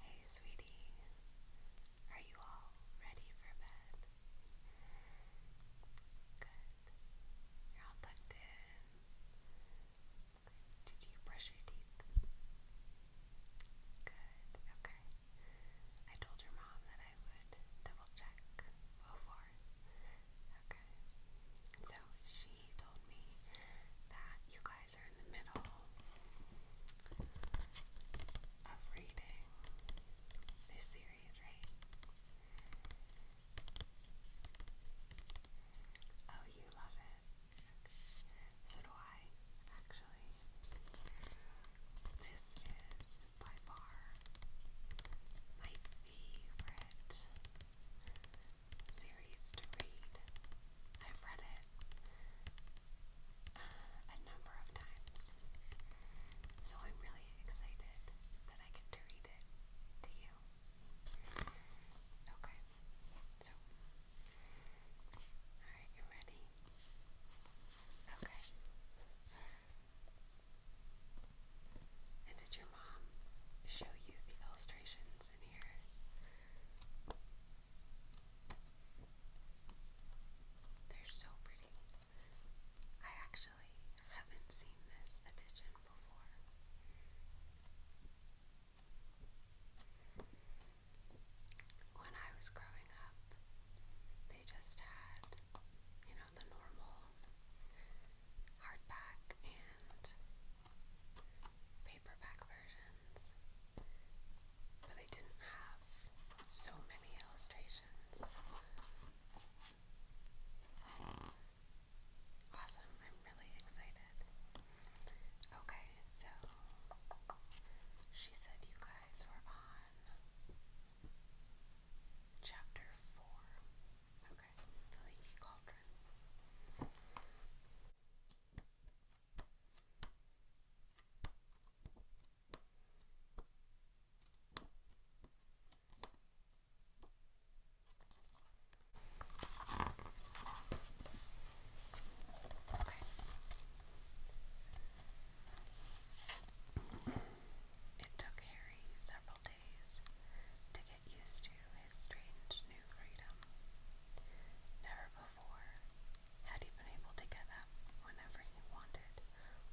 Hey, sweetie, are you all ready for bed? Good. You're all tucked in. Good. Did you brush your teeth? Good. Okay. I told your mom that I would double check before. Okay. So she told me that you guys guys in the middle of reading this series, right? Oh, you love it. So do I, actually. This is by far my favorite series to read. I've read it uh, a number of times, so I'm really excited that I get to read it to you. Okay, so, alright, you ready? Okay. And did your mom show you the illustrations in here? They're so pretty. I actually haven't seen this edition before. When I was growing up, they just had, you know, the normal hardback and paperback versions, but I didn't have so many illustrations. Awesome, I'm really excited. Okay, so she said you guys were on chapter four. Okay, the leaky cauldron. It took Harry several days to get used to his strange new freedom. Never before, had he been able to get up whenever he wanted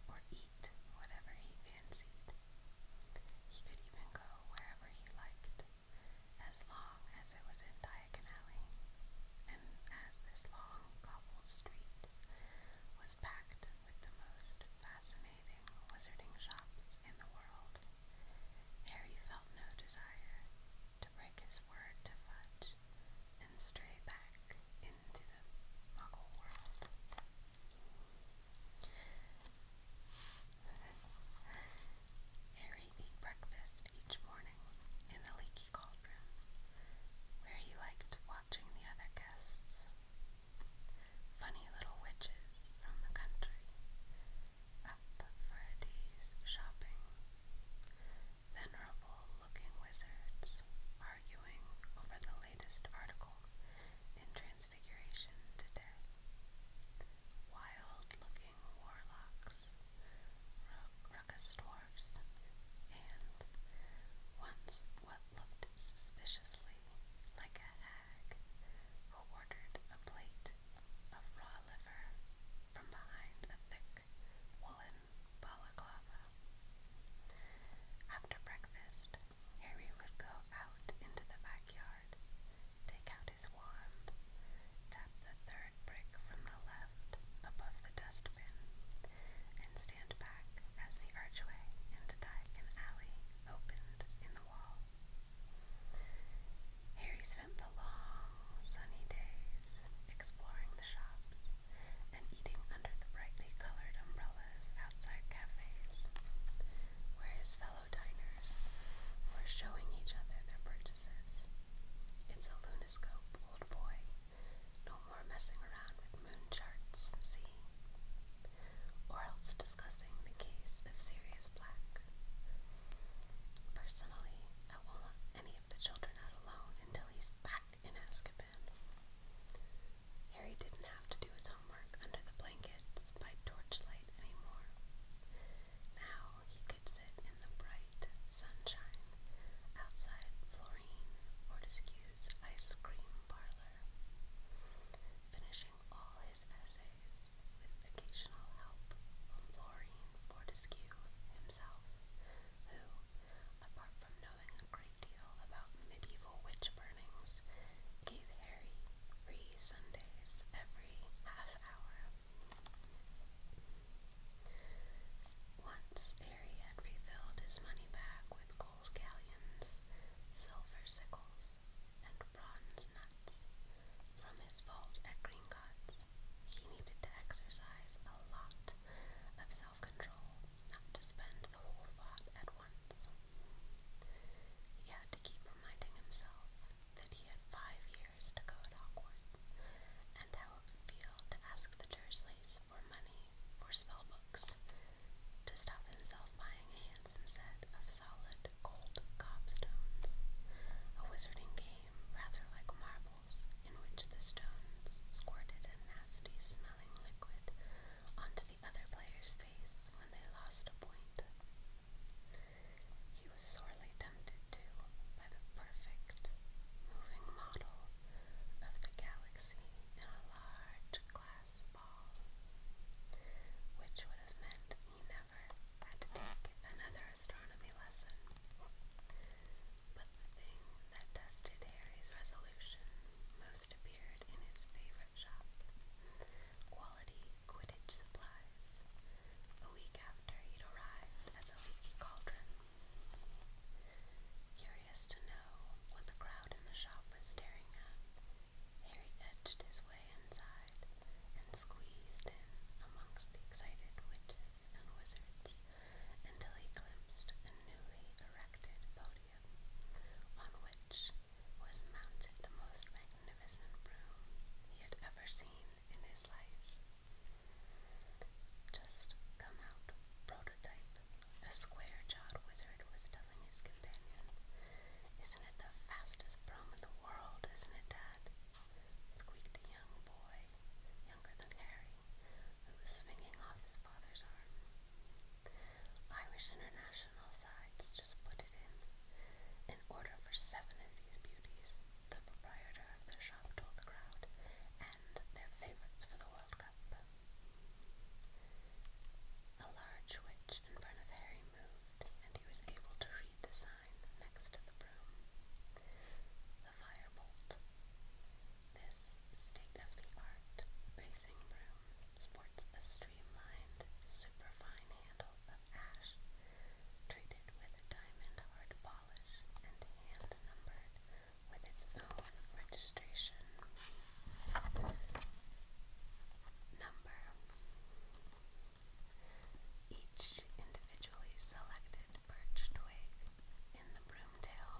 or eat whatever he fancied. He could even go wherever he liked, as long as it was in Diagon Alley, and as this long cobbled street was packed with the most fascinating wizarding shops in the world, Harry felt no desire to break his word to Fudge and stray back into the muggle world. Harry ate breakfast each morning in the leaky cauldron, where he liked watching the other guests. Funny little witches from the country up Freddy's shopping. Venerable looking wizards arguing over the latest article in Transfiguration today. Wild looking warlocks, ruckus dwarfs, and once what looked suspiciously like a hag who ordered a plate of raw liver from behind a thick woolen balaclava. After breakfast, Harry would go out into the backyard, take out his wand, tap the third brick from the left above the dustbin, and stand back as the archway into Dyke Alley opened in the wall. Here he spent the long, sunny days exploring the shops and eating under the brightly colored umbrellas outside cafes, where his fellow diners were showing each other their purchases. It's a lunoscope, old boy. No more messing around with moon charts, see? Or else discussing the case of Sirius Black. Personally, I will not any of the children out alone until he's back in Askaban. Harry didn't have to do his homework under the blankets by torchlight anymore. Now he could sit in the bright sunshine outside Florine Fortescue's ice cream parlor, finishing all his essays with occasional help from Lorraine Fortescue himself, who, apart from knowing a great deal about medieval witch burnings, gave Harry free Sundays every half hour. Once Harry had refilled his money bag with gold galleons, silver sickles, and bronze nuts, from his fault at Green Cuts. He needed to exercise a lot of self control, not to spend the whole thought at once. He had to keep reminding himself that he had five years to go at Hogwarts and how it would feel to ask the Dursleys for money for spell books, to stop himself buying a handsome set of solid gold cobstones, a wizarding game rather like marbles, in which the stones squirted a nasty smelling liquid onto the other player's face when they lost a point. He was sorely tempted to by the perfect moving model of the galaxy in a large glass ball, which would have meant he now had to take another astronomy lesson. But the thing that tested Harry's resolution most appeared in his favorite shop, Quality Quidditch Supplies, a week after he'd arrived at the Leaky Cauldron. Curious to know what the crowd in the shop was staring at, Harry edged his way inside and squeezed in amongst the excited witches and wizards until he glimpsed a newly erected podium on which was mounted the most magnificent broom he had ever seen in his life. Just come out, prototype, a square jawed wizard was telling his companion. Isn't it the fastest broom in the world, isn't it, Dad? squeaked a young boy, younger than Harry, who was swinging off his father's arm. Irish International Sides just put it in. In order for seven of these beauties, the proprietor of their shop told the crowd, and their favorites for the World Cup. A large witch in front of Harry moved, and he was able to read the sign sign next to the broom. The firebolt. This state-of-the-art racing broom sports a streamlined, superfine handle of ash, treated with a diamond hard polish and hand-numbered with its own registration. Number each individually selected birch twig in the broomtail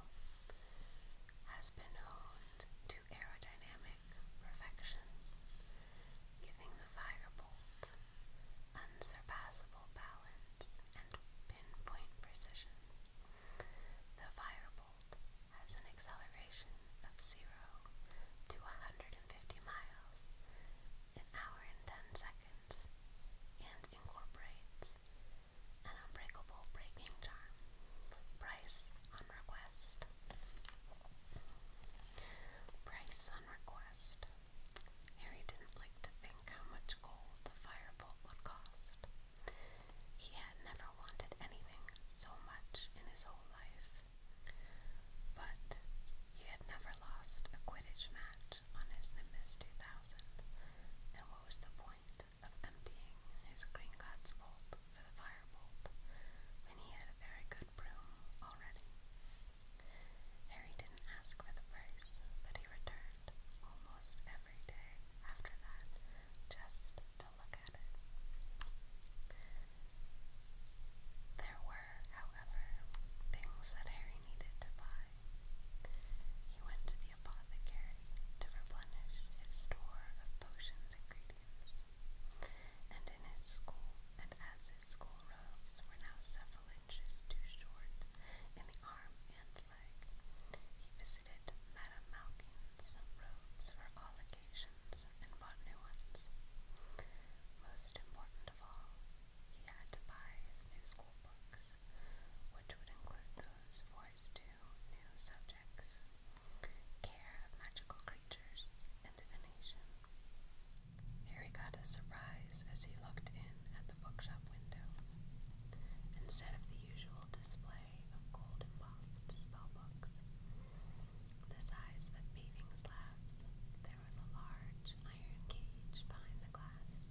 has been honed to aerodynamic perfection, giving the firebolt unsurpassable balance and pinpoint precision. The firebolt has an acceleration of 0 to 150 miles an hour and 10 seconds and incorporates an unbreakable breaking charm. Price on request. Price on request. Harry didn't like to think how much gold the firebolt would cost. He had never wanted anything so much in his whole life. But he had never lost a Quidditch match on his Nimbus 2000, and what was the point of emptying his Green God's Bolt for the Firebolt when he had a very good broom already? Harry didn't ask for the price, but he returned almost every day after that just to look at it. There were however, things that Harry needed to buy. He went to the apothecary to replenish his store of potions ingredients, and in his school, and as his school robes were now several inches too short in the arm and leg, he visited Madame Malkin's robes for all occasions and bought new ones. Most important of all, he had to buy his new school books, which would include those for his new subjects care of magical creatures divination. Here he got a surprise as he looked in at the bookshop window. Instead of the usual display of gold embossed spell the size of paving slabs, there was a large iron cage behind the glass,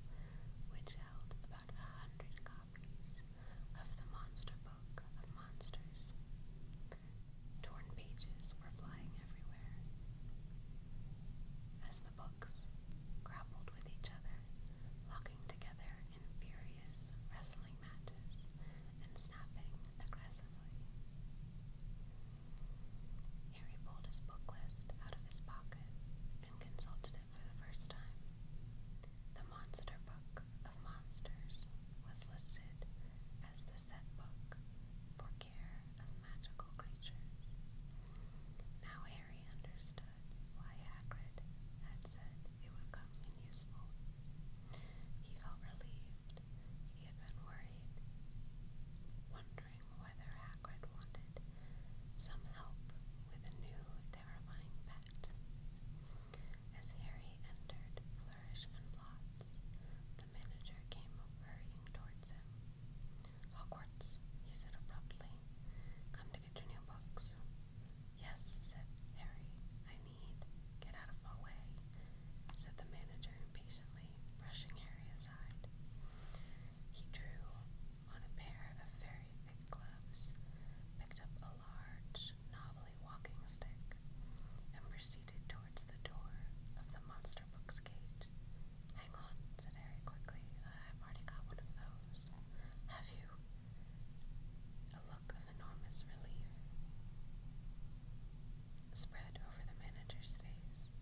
which held about a hundred copies of the Monster Book of Monsters. Torn pages were flying everywhere. As the books grappled with each other, locking together in furious wrestling matches and snapping aggressively. Harry pulled his book list out of his pocket and consulted it for the first time. The Monster Book of Monsters was listed as the set book for care of magical creatures. Now Harry understood why Hagrid had said it would come in useful. He felt relieved. He had been worried, wondering whether Hagrid wanted some help with a new terrifying pet. As Harry entered Flourish and Blots, the manager came hurrying towards him. Hogwarts, he said abruptly. Come to get your new books. Yes, said Harry. I need. Get out of my way, said the manager impatiently, brushing Harry aside. He drew on a pair of very thick gloves, picked up a large, knobbly walking stick, and proceeded towards the door of the monster book's gate. Hang on, said Harry quickly. I've already got one of those. Have you? A look of enormous relief spread over the manager's face.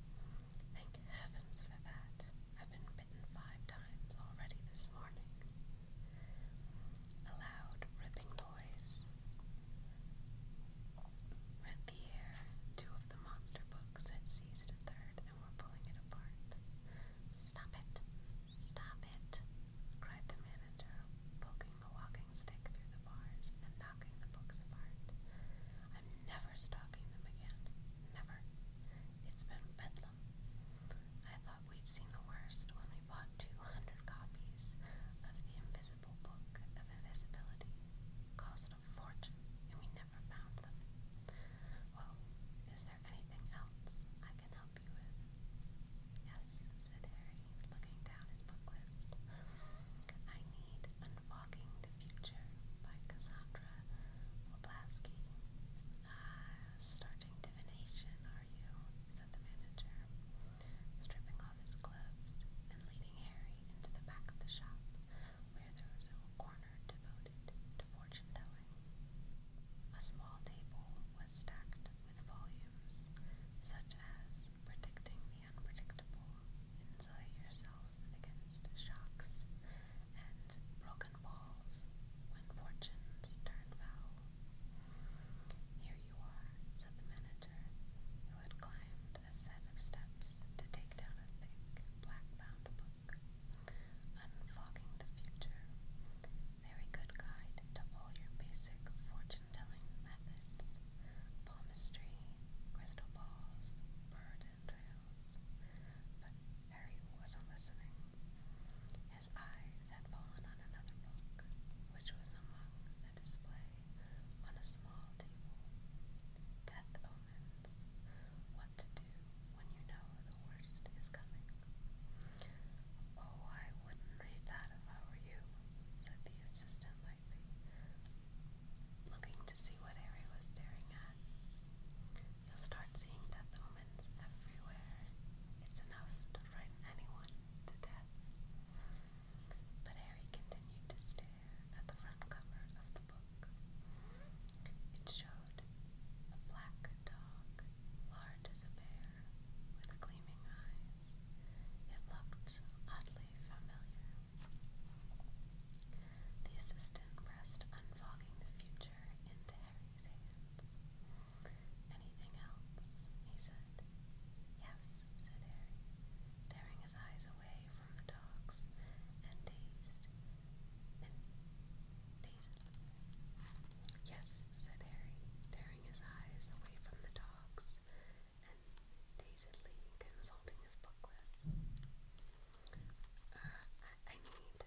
Thank heavens for that. I've been bitten five times already this morning. A loud ripping noise. Rent the air. Two of the monster books had seized a third and were pulling it apart. Stop it! Stop it! cried the manager, poking the walking stick through the bars and knocking the books apart. I'm never stopping. Never. It's been bedlam. I thought we'd seen the worst when we bought 200 copies of The Invisible Book of Invisibility. Cost a fortune, and we never found them. Well, is there anything else I can help you with? Yes, said Harry, looking down his book I need Fogging the Future by Cassandra Woblaski. Uh, starting divination, are you? said the manager, stripping off his gloves and leading Harry into the back of the shop, where there was a corner devoted to fortune telling. A small table was stacked with volumes, such as Predicting the unpredictable, insulate yourself against shocks and broken balls when fortunes turn foul. Here you are, said the manager, who had climbed a set of steps to take down a thick, black-bound book, unfogging the future. Very good guide to all your basic fortune-telling methods. Palmistry, crystal balls, bird Harry wasn't listening. His eyes had fallen on another book, which was among a display on a small table. Death Omens. What to do when you know the worst is coming. Oh, I wouldn't read that if I were you, said the assistant looking to see what Harry was staring at. You'll start seeing death omens everywhere. It's enough to frighten anyone to death. But Harry continued to stare at the front cover of the book. It showed a black dog, large as a bear, with gleaming eyes. It looked oddly familiar. The assistant pressed unfogging the future into Harry's hands. Anything else? he said. Yes, said Harry, tearing his eyes away from the dogs and dazed. And dazedly. Yes, said Harry, tearing his eyes away from the dogs and dazedly consulting his book uh, I, need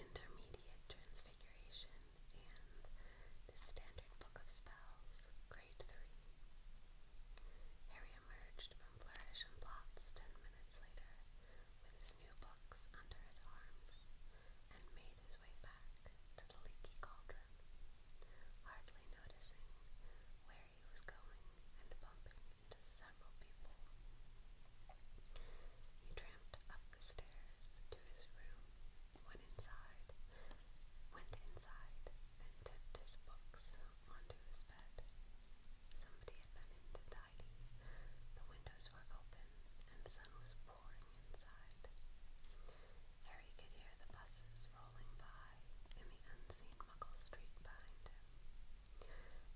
intermediate transfiguration and the standard book of spells, grade 3. Harry emerged from Flourish and Plots ten minutes later with his new books under his arms and made his way back to the leaky cauldron, hardly noticing where he was going and bumping several people. He tramped up the stairs to his room, went inside, went inside, and tipped his books onto his bed. Somebody had been in to tidy. The windows were open, and sun was pouring inside. Harry could hear the buses roll by in the unseen Muggle street behind him,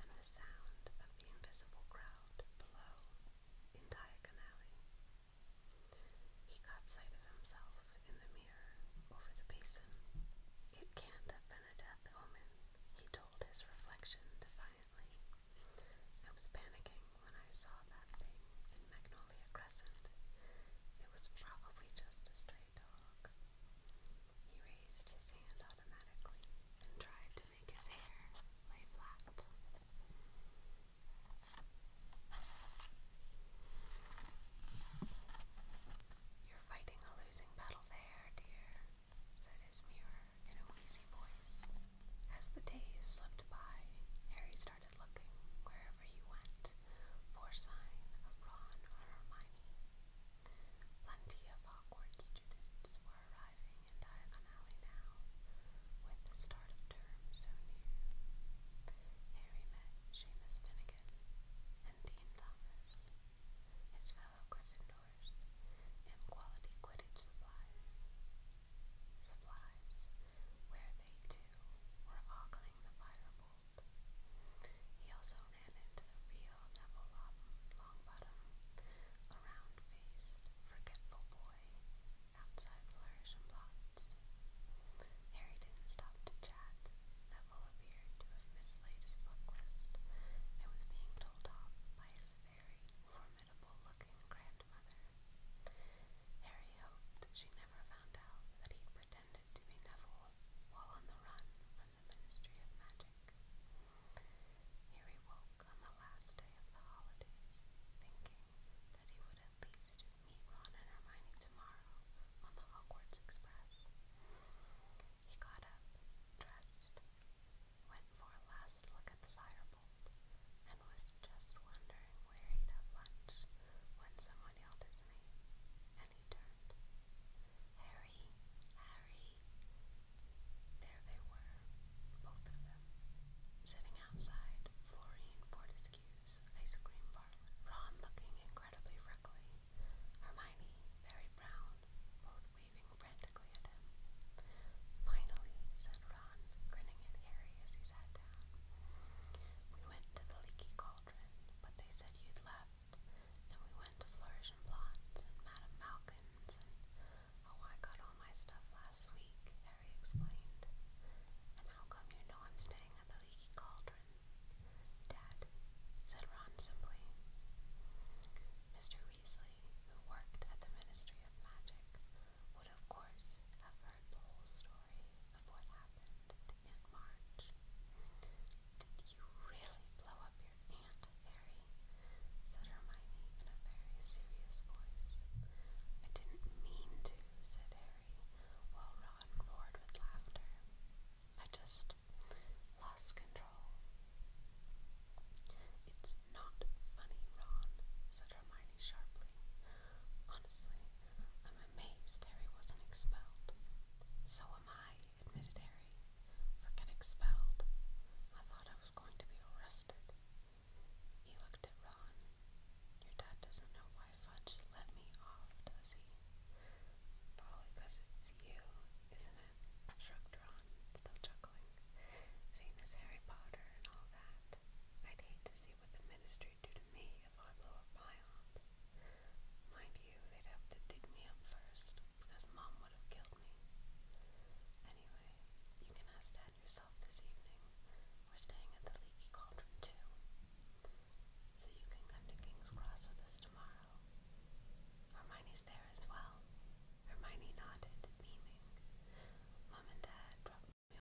and the sound of the invisible crowd below in Diagon Alley. He caught sight of himself in the mirror over the basin. It can't have been a death omen, he told his reflection defiantly. I was panicking when I saw that thing in Magnolia Crescent. It was probably just a stray he raised his hand automatically and tried to make his hair lay flat. You're fighting a losing battle there, dear, said his mirror in a wheezy voice. As the days slipped by, Harry started looking wherever he went for sign of Ron or Hermione. Plenty of awkward students were arriving in Diagon Alley now, with the start of term so near. Harry met Seamus Finnegan and Dean Thomas, his fellow Gryffindors, in quality Quidditch supplies. Supplies, where they too were ogling the fireball he also ran into the real Neville Longbottom, a round-faced, forgetful boy, outside Flourish and Blots. Harry didn't stop to chat. Neville appeared to have mislaid his book list was being told off by his very formidable-looking grandmother. Harry hoped she never found out that he pretended to be Neville while on the run the Ministry woke on the last day of the holidays, thinking that he would at least meet Ron and Hermione tomorrow on the Hogwarts Express. He got up, dressed, went for a last look at the firebolt, and was just wondering where he'd have lunch when someone yelled his name, and Harry, Harry. There they were, both of them, sitting outside Florine Fortescue's ice cream bar. Ron looking incredibly freckly, Hermione very brown, both waving frantically at him. Finally, said Ron, grinning at Harry as he sat down. We went to the leaky cauldron, but they said you'd left and we went to Flourish and Blondes and Madame Malkin's oh, I got all my stuff last week, Harry explained. And how come you know I'm staying at the Leaky Cauldron? Dad, said Ron simply. Mr. Weasley, who worked at the Ministry of Magic, would of course have heard the whole story of what happened in March. Did you really blow up your aunt, Harry? said Hermione in a very serious voice. I didn't mean to, said Harry, while Ron roared with laughter. I just lost control. It's not funny, Ron, said Hermione sharply. Honestly, I'm amazed Harry wasn't expelled. So am I, midday for get expelled. I thought I was going to be arrested. He looked at Ron. Your dad doesn't know why Fudge let me off, does he? Probably it's you, isn't it? Shrugged Ron, still chuckling. Famous Harry Potter and all that. I'd hate to see what the ministry do to me if I blew up my Mind you, they'd have to dig me up first because mom would have killed me. Anyway, you can ask dad yourself this evening. We're staying at the Leaky Cauldron too. So you can come to King's Cross with us tomorrow. Hermione's there as well. Hermione nodded, beaming. Mom and Dad dropped me